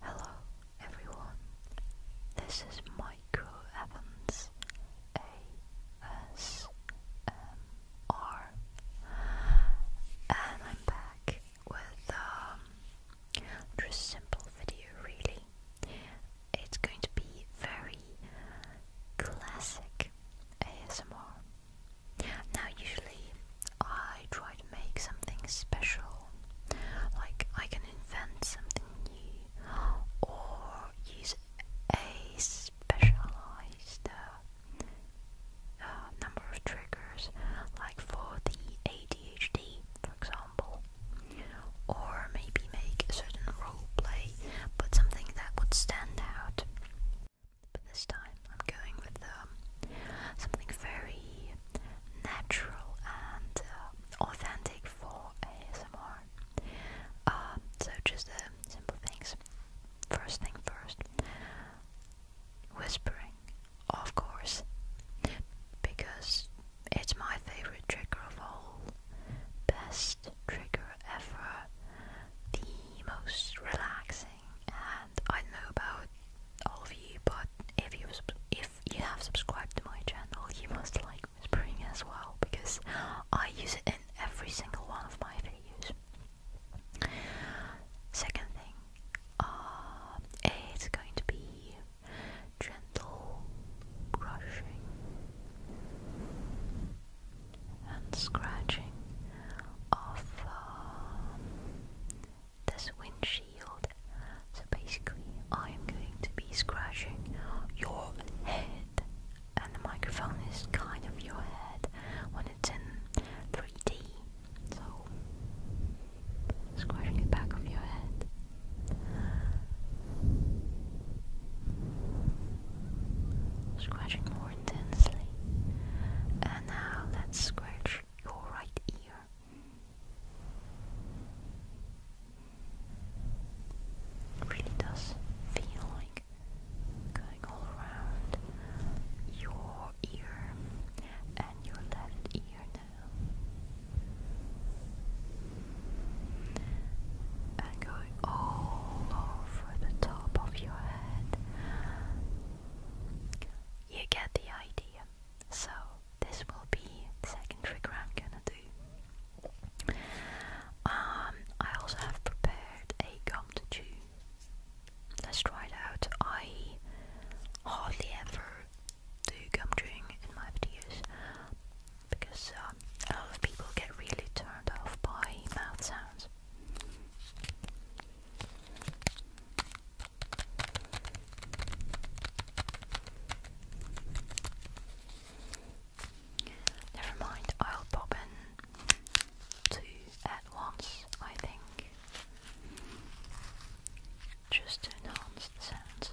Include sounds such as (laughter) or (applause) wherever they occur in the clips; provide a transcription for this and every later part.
Hello everyone, this is Michael Evans ASMR and I'm back with um, just simple video really. It's going to be very classic ASMR now, usually I try to make something special, like I can invent something new or use a specialized uh, uh, number of triggers, like for the ADHD, for example, or maybe make a certain role play, but something that would stand out. But this time I'm going with um, something very natural and uh, authentic for ASMR. Um, so just the uh, simple things. First thing first, whispering, of course, because it's my favorite trigger of all. Best trigger ever. The most relaxing and I don't know about all of you, but if you if you have subscribed to my channel, you must like whispering as well because I use it in every single one of my videos. Second thing, um, it's going to be gentle brushing and scratching of um, this windshield. So basically, I am going to be scratching your head, and the microphone is kind of your head when it's in 3D. So, scratching the back of your head. Scratching more intensely. And now let's scratch your right ear. really does feel like going all around your ear and your left ear now. And going all over the top of your head you get the idea. So this will be the second trigger I'm gonna do. Um, I also have prepared a gum to chew. Let's try it out. I hardly ever do gum chewing in my videos because um, a lot of people get really turned off by mouth sounds. Never mind, I'll pop in two at once, I think, just to enhance the sounds.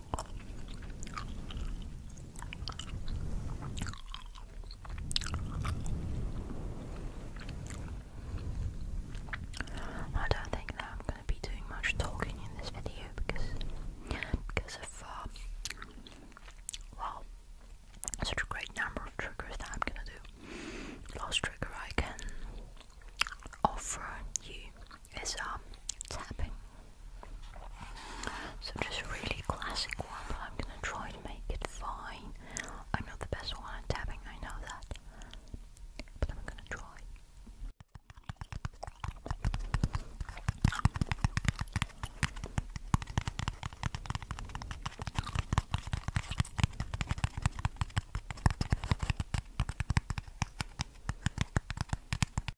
I don't think that I'm going to be doing much talking in this video because because of um, well such a great number of triggers that I'm going to do. Last trigger I can offer you is um tapping. So just really classic one, but I'm gonna try to make it fine. I'm not the best one at tapping, I know that. But I'm gonna try.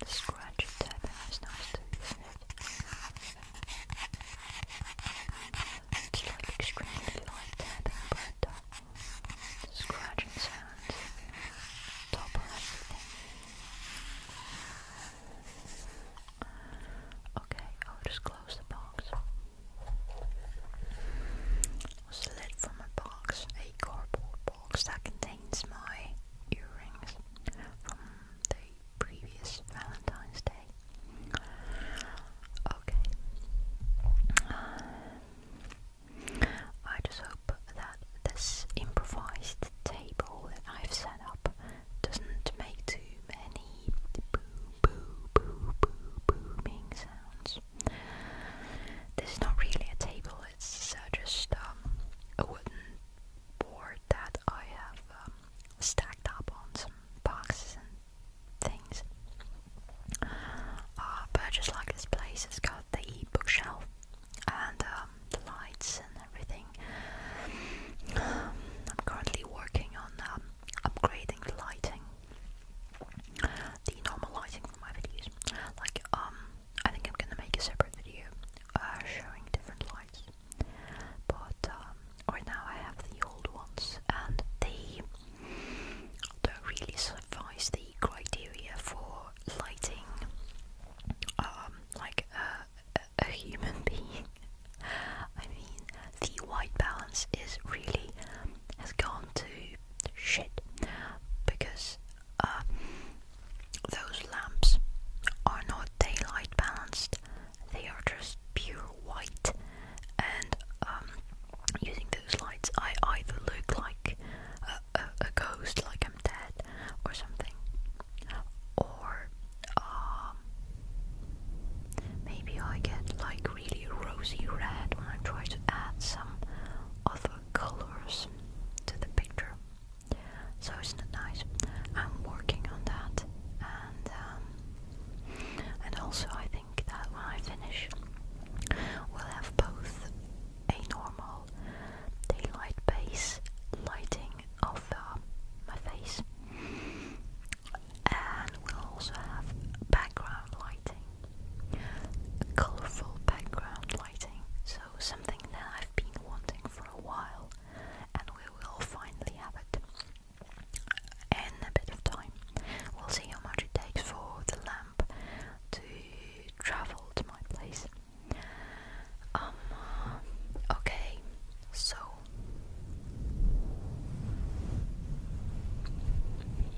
The scratchy tapping nice isn't it? It's like extremely light tapping, but the scratching sounds top everything. Okay, I'll just close the box was slid from a box, a cardboard box that contains my earrings from the previous Valentine's Day. Okay. Um, I just hope that this improvised table that I've set up doesn't make too many boo boo boo boo booming sounds. This is not really a table, it's just um, a wooden board that I have um, stacked up on some boxes and things. Uh, but just like this place, it's got the bookshelf and um, the lights and everything. I'm currently working on upgrading the lighting the normalizing for my videos. Like, um, I think I'm gonna make a separate video uh, showing different lights. But um, right now I have the old ones, and they don't really suffice the criteria for lighting, um, like a human (laughs) being. I mean, the white balance is really has gone to shit because uh, those lamps are not daylight balanced, they are just pure white, and um, using those lights, I either look like a, ghost, like I'm dead, or something, or um, maybe I get like really rosy red when I try to add some other colors to the picture. So it's not nice. I'm working on that, and um, and also I think that when I finish, we'll have both a normal daylight base lighting of uh, my face, and we'll also have background lighting colourful background lighting, so something that I've been wanting for a while, and we will finally have it in a bit of time. We'll see how much it takes for the lamp to travel to my place. Um, okay, so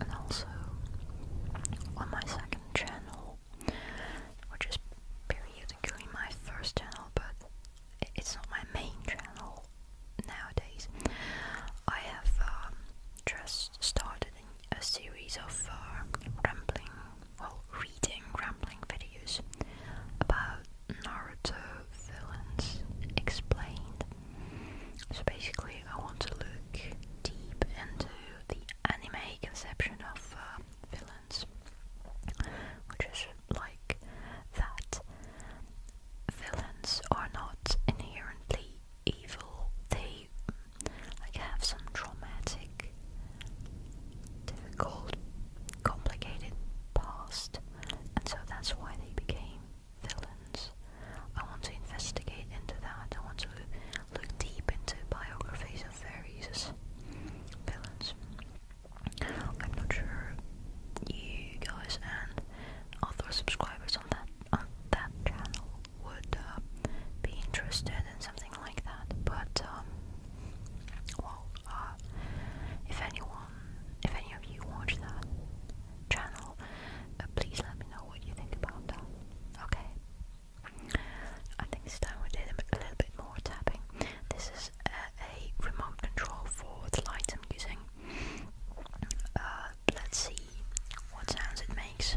And also on my second channel, which is periodically my first channel, but it's not my main channel nowadays. I have um, just started a series of uh, rambling well, reading rambling videos about Naruto villains explained. So basically, I want to look deep into the anime conception of uh, villains, which is like that villains are not inherently evil. They like have some traumatic, difficult complicated past, and so that's why they became villains. I want to investigate into that. I want to look deep into biographies of fairies, villains. I'm not sure you guys and other subscribers on that on that channel would uh, be interested in something like that, but um, well, uh, if anyone, if any of you watch that channel, uh, please let me know what you think about that. Okay. I think this time we did a, little bit more tapping. This is uh, a remote control for the lights I'm using. let's see what sounds it makes.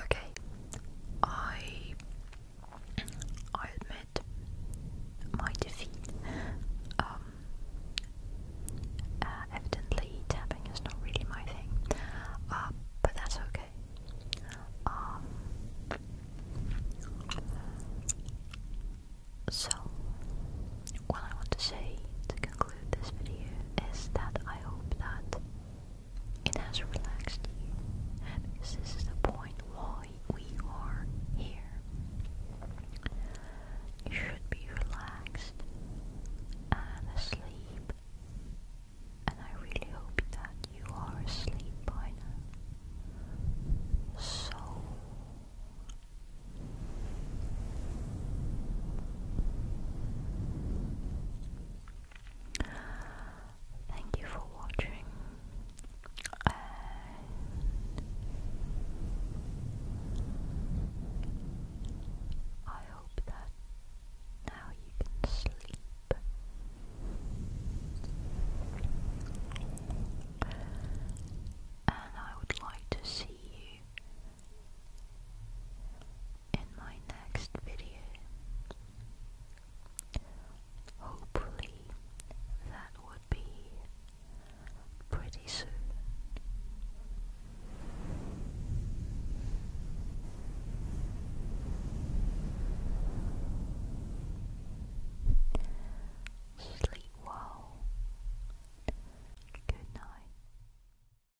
Okay, I I admit my defeat. Um, uh, evidently, tapping is not really my thing, uh, but that's okay. Um, so, what I want to say to conclude this video is that I hope that it has relaxed you. and this is the point why we are here. You should be relaxed and asleep. And I really hope that you are asleep by So Thank you for watching. I hope that now you can sleep. And I would like to see you in my next video. Hopefully, that would be pretty soon. Sleep well. Good night.